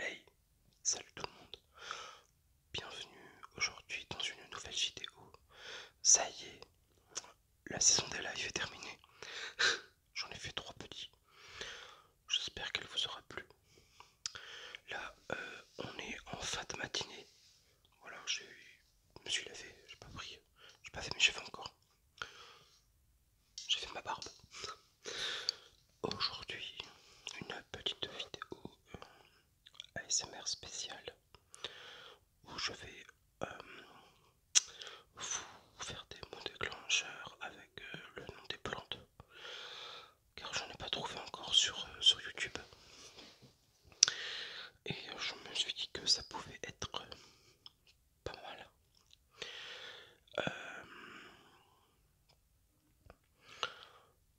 Hey, salut tout le monde, bienvenue aujourd'hui dans une nouvelle vidéo. Ça y est, la saison des lives est terminée. J'en ai fait trois petits. J'espère qu'elle vous aura plu. Là, euh, on est en fin de matinée. Voilà, je me suis lavé, j'ai pas pris, j'ai pas fait mes cheveux encore j'ai fait ma barbe. Aujourd'hui, une petite vidéo ASMR spéciale où je vais euh, vous faire des mots déclencheurs avec euh, le nom des plantes car je n'ai pas trouvé encore sur, euh, sur YouTube et je me suis dit que ça pouvait être pas mal.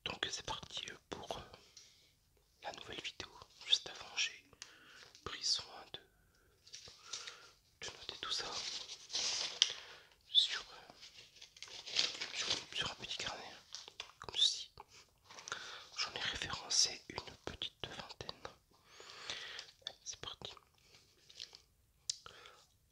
Donc c'est parti pour la nouvelle vidéo. Juste avant j'ai pris soin de, noter tout ça sur, un petit carnet comme ceci. J'en ai référencé une petite vingtaine. C'est parti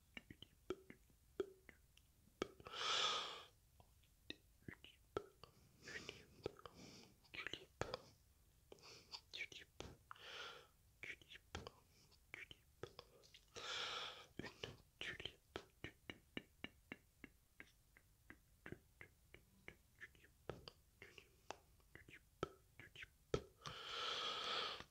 tulipe, tulipe, tulipe, tulipe, tulipe, tulipe, tulipe, tulipe, tulipe, tulipe, tulipe,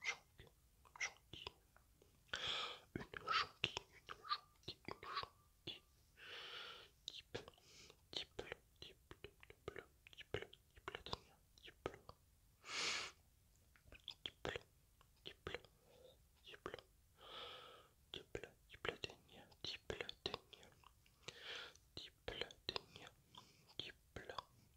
jonque, Une une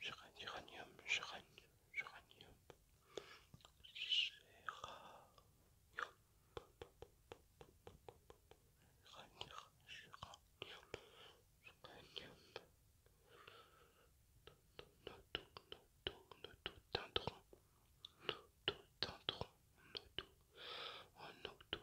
géranium, géranium, géranium, Nototendron, un tout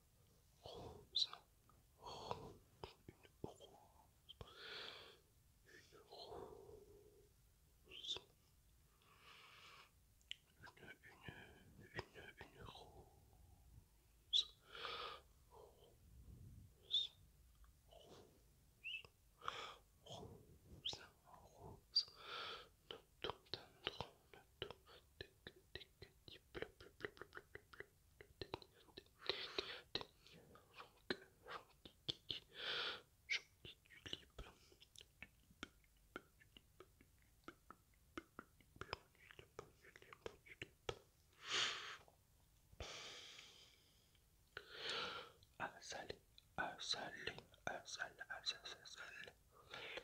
une rose, une rose, une rose, une, une, une, une rose, rose, rose, rose, rose, rose à salé, à à à à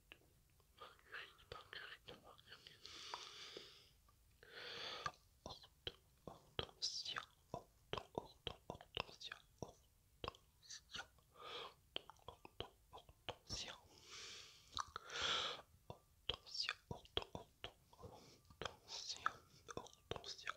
Hortensia, hortensia, hortensia, hortensia, hortensia, hortensia, hortensia,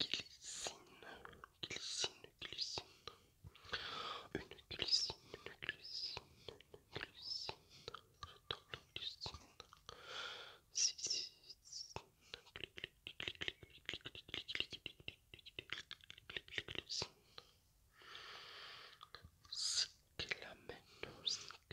Glycine, glycine, glycine. Une glycine, une glycine, une glycine. clic la glycine. Si,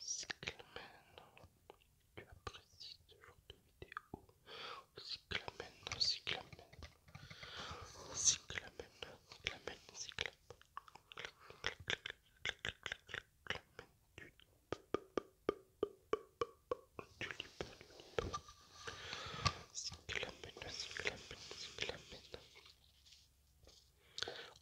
Cyclamen, tu apprécies ce genre de vidéo Cyclamen, Cyclamen, Cyclamen, Cyclamen,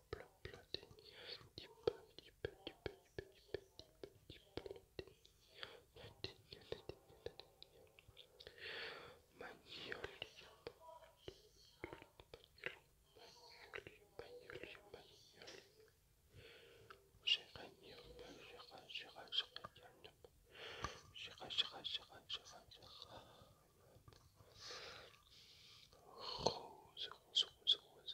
rose, rose, rose, rose,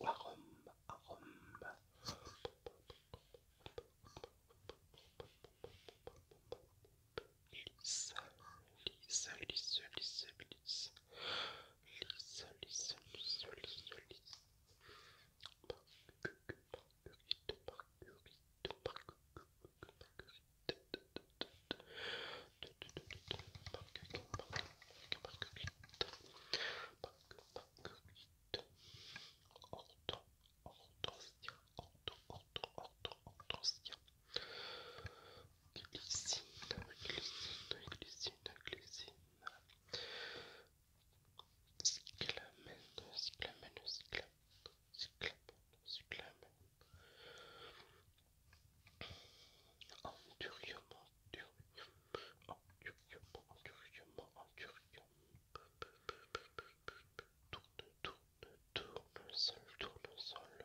arôme, arôme. Lisse, lisse, lisse, lisse, lisse. Marguerite, Marguerite, Marguerite, Marguerite, Marguerite, Glycine, cyclamène cyclamen, endurium, tourne, tourne, tourne, sol, tourne, sol,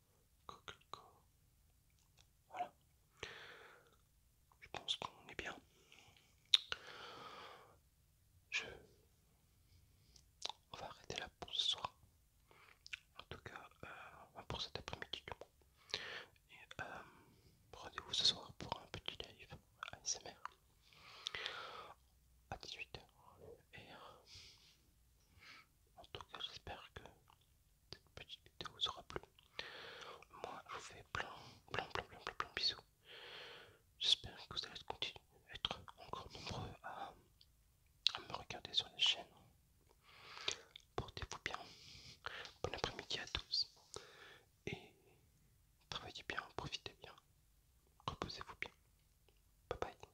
Coquelicot. Voilà. Je pense qu'on est bien. Je... On va arrêter là pour ce soir. En tout cas, euh, pour cet après-midi du Et euh, rendez-vous ce soir pour un petit live ASMR à 18h. Et en tout cas, j'espère que cette petite vidéo vous aura plu. Moi, je vous fais plein, plein, plein, plein, plein, plein bisous. J'espère que vous allez continuer à être encore nombreux à, à me regarder sur la chaîne. Portez-vous bien. Bon après-midi à tous. Et travaillez bien, profitez bien. Reposez-vous bien. Bye bye.